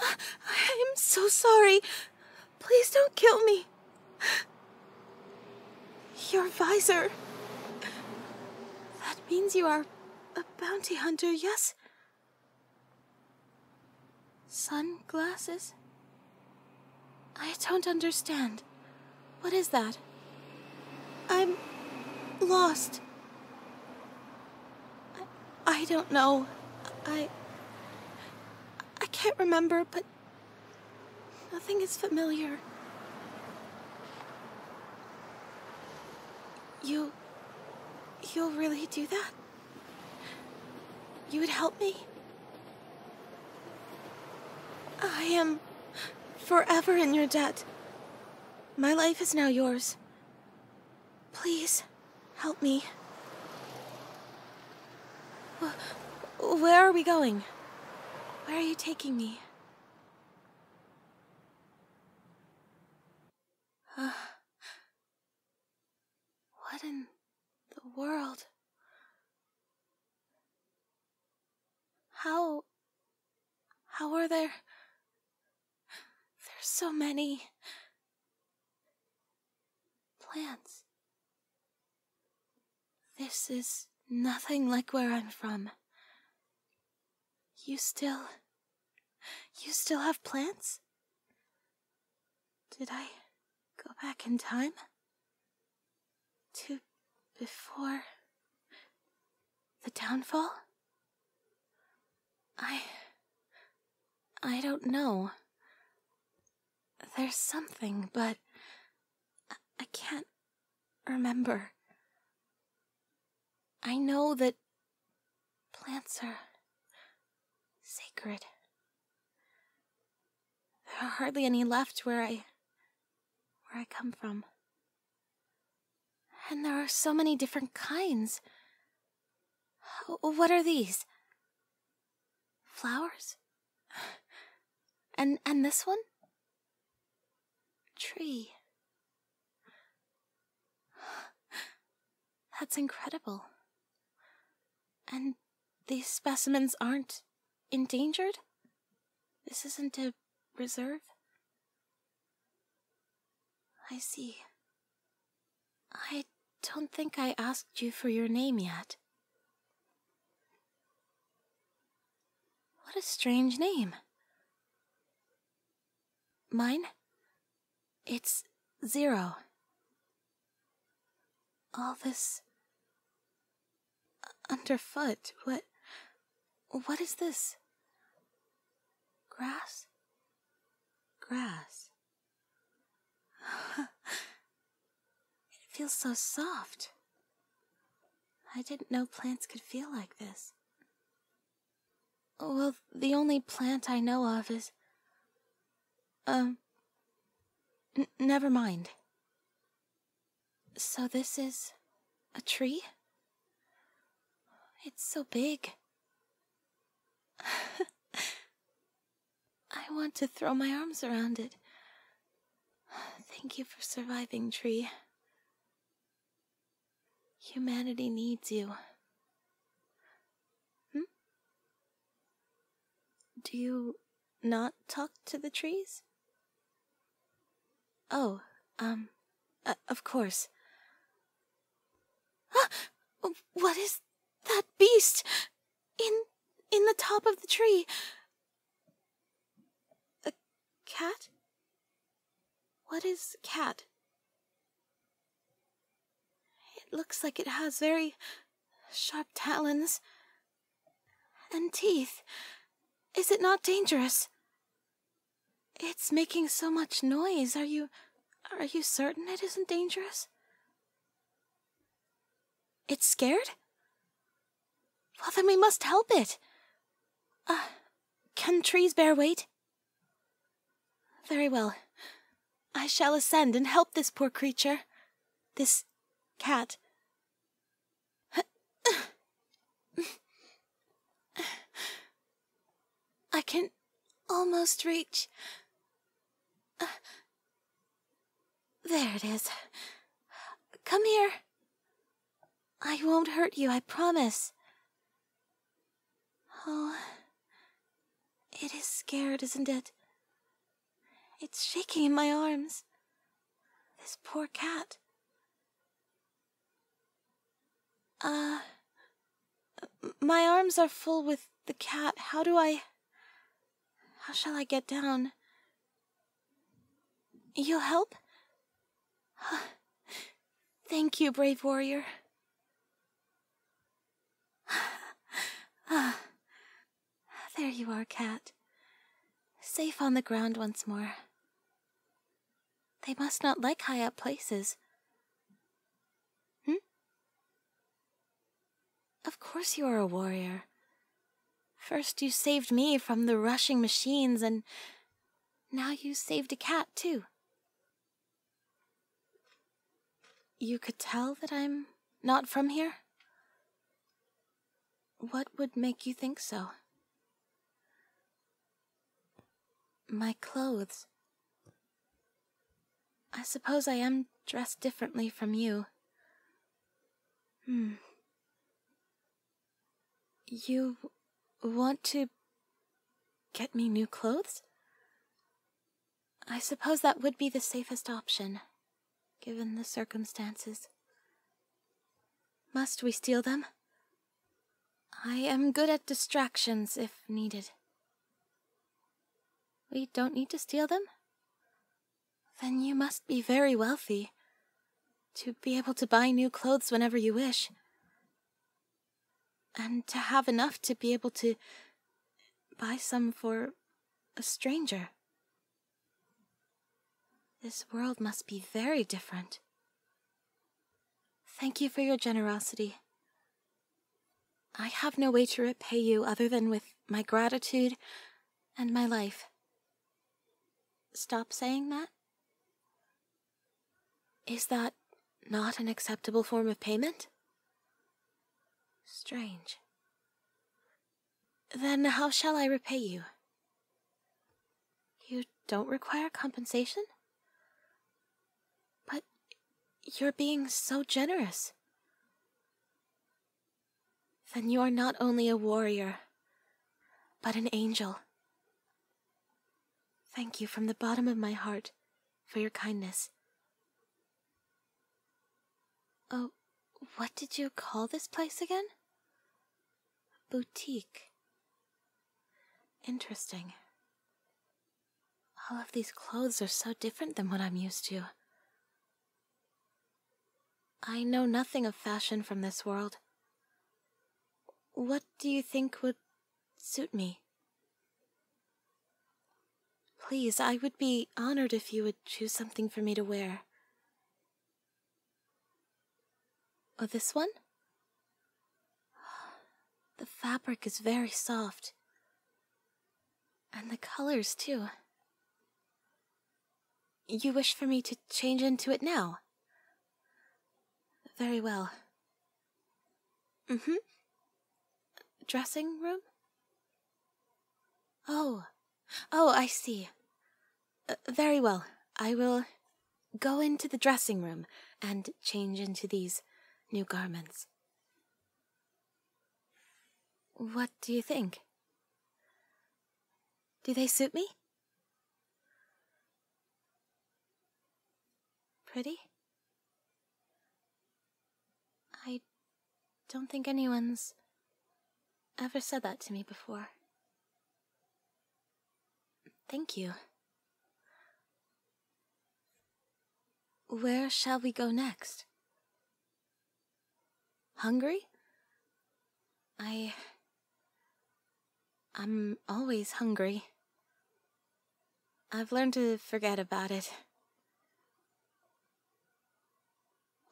I am so sorry. Please don't kill me. Your visor. That means you are a bounty hunter, yes? Sunglasses? I don't understand. What is that? I'm lost. I, don't know. I. I can't remember, but nothing is familiar. You. You'll really do that? You would help me? I am forever in your debt. My life is now yours. Please, help me. Where are we going? Where are you taking me? what in the world? How... how are there... There's so many... Plants. This is nothing like where I'm from. You still. You still have plants? Did I go back in time? To before. the downfall? I. I don't know. There's something, but I, can't remember. I know that plants are sacred. There are hardly any left where I where I come from. And there are so many different kinds. What are these? Flowers? and and this one? Tree. That's incredible. And these specimens aren't endangered? This isn't a reserve? I see. I don't think I asked you for your name yet. What a strange name. Mine? It's Zero. All this underfoot. What what is this? Grass? Grass. it feels so soft. I didn't know plants could feel like this. Well, the only plant I know of is. Um. never mind. So this is. a tree? It's so big. I want to throw my arms around it. Thank you for surviving, Tree. Humanity needs you. Hmm? Do you not talk to the trees? Oh, um, uh, of course. Ah! What is that beast? In in the top of the tree. A cat? What is cat? It looks like it has very sharp talons and teeth. Is it not dangerous? It's making so much noise. Are you are you certain it isn't dangerous? It's scared? Well, then we must help it. Ah, can trees bear weight? Very well. I shall ascend and help this poor creature. This cat. I can almost reach. Uh, there it is. Come here. I won't hurt you, I promise. Oh, it is scared, isn't it? It's shaking in my arms. This poor cat. Ah, my arms are full with the cat. How do I. How shall I get down? You'll help? Thank you, brave warrior. Ah, there you are, cat. Safe on the ground once more. They must not like high up places. Hmm? Of course you are a warrior. First you saved me from the rushing machines, and now you saved a cat, too. You could tell that I'm not from here? What would make you think so? My clothes. I suppose I am dressed differently from you. Hmm. You want to get me new clothes? I suppose that would be the safest option, given the circumstances. Must we steal them? I am good at distractions if needed. We don't need to steal them? Then you must be very wealthy to be able to buy new clothes whenever you wish, and to have enough to be able to buy some for a stranger. This world must be very different. Thank you for your generosity. I have no way to repay you other than with my gratitude and my life. Stop saying that? Is that not an acceptable form of payment? Strange. Then how shall I repay you? You don't require compensation? But you're being so generous. Then you are not only a warrior, but an angel. Thank you from the bottom of my heart for your kindness. Oh, what did you call this place again? Boutique. Interesting. All of these clothes are so different than what I'm used to. I know nothing of fashion from this world. What do you think would suit me? Please, I would be honored if you would choose something for me to wear. Oh, this one? The fabric is very soft. And the colors, too. You wish for me to change into it now? Very well. Mm hmm. Dressing room? Oh. Oh, I see. Uh, very well. I will go into the dressing room and change into these new garments. What do you think? Do they suit me? Pretty? I don't think anyone's ever said that to me before. Thank you. Where shall we go next? Hungry? I. I'm always hungry. I've learned to forget about it.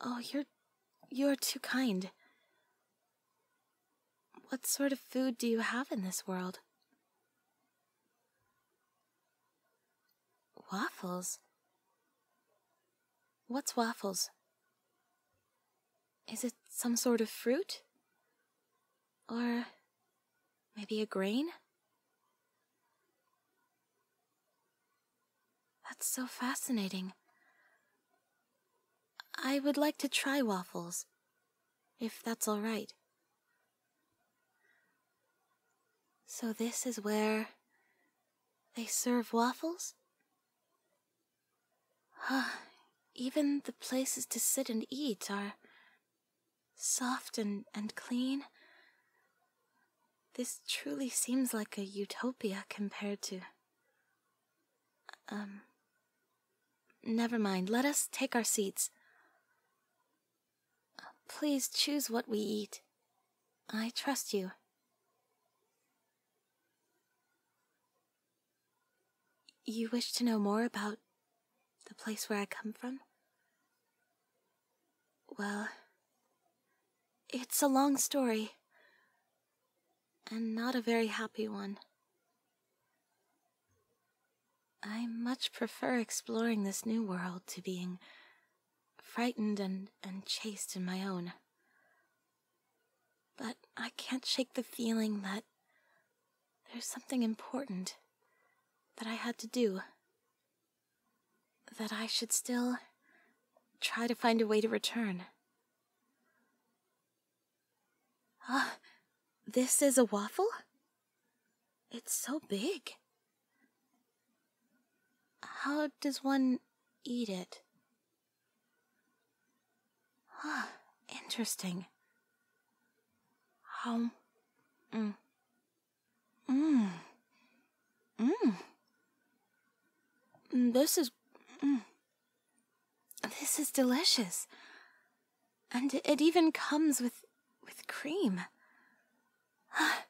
Oh, you're. you're too kind. What sort of food do you have in this world? Waffles? What's waffles? Is it some sort of fruit? Or maybe a grain? That's so fascinating. I would like to try waffles, if that's all right. So, this is where they serve waffles? Huh. Even the places to sit and eat are soft and, and clean. This truly seems like a utopia compared to. Um. Never mind, let us take our seats. Please choose what we eat. I trust you. You wish to know more about the place where I come from? Well, it's a long story, and not a very happy one. I much prefer exploring this new world to being frightened and, and chased in my own. But I can't shake the feeling that there's something important that I had to do. That I should still try to find a way to return. Ah, this is a waffle? It's so big. How does one eat it? Huh, ah, interesting. How? Mm. Mmm. Mmm. This is. Mm. This is delicious. And it, it even comes with. with cream. Ah.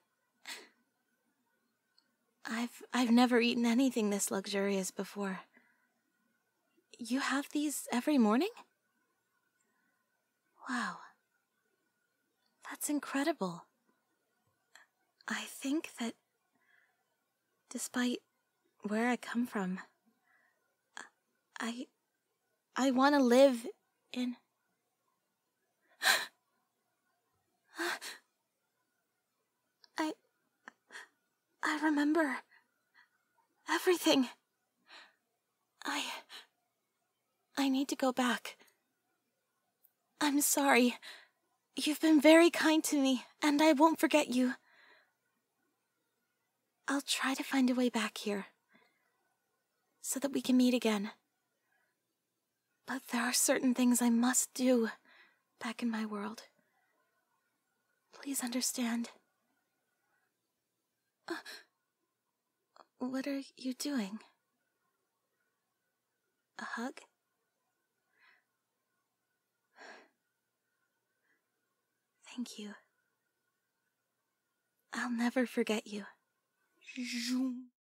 I've I've never eaten anything this luxurious before. You have these every morning? Wow. That's incredible. I think that despite where I come from, I I want to live in I. I remember. Everything. I. I need to go back. I'm sorry. You've been very kind to me, and I won't forget you. I'll try to find a way back here so that we can meet again. But there are certain things I must do back in my world. Please understand. Uh, what are you doing? A hug? Thank you. I'll never forget you. Zoom.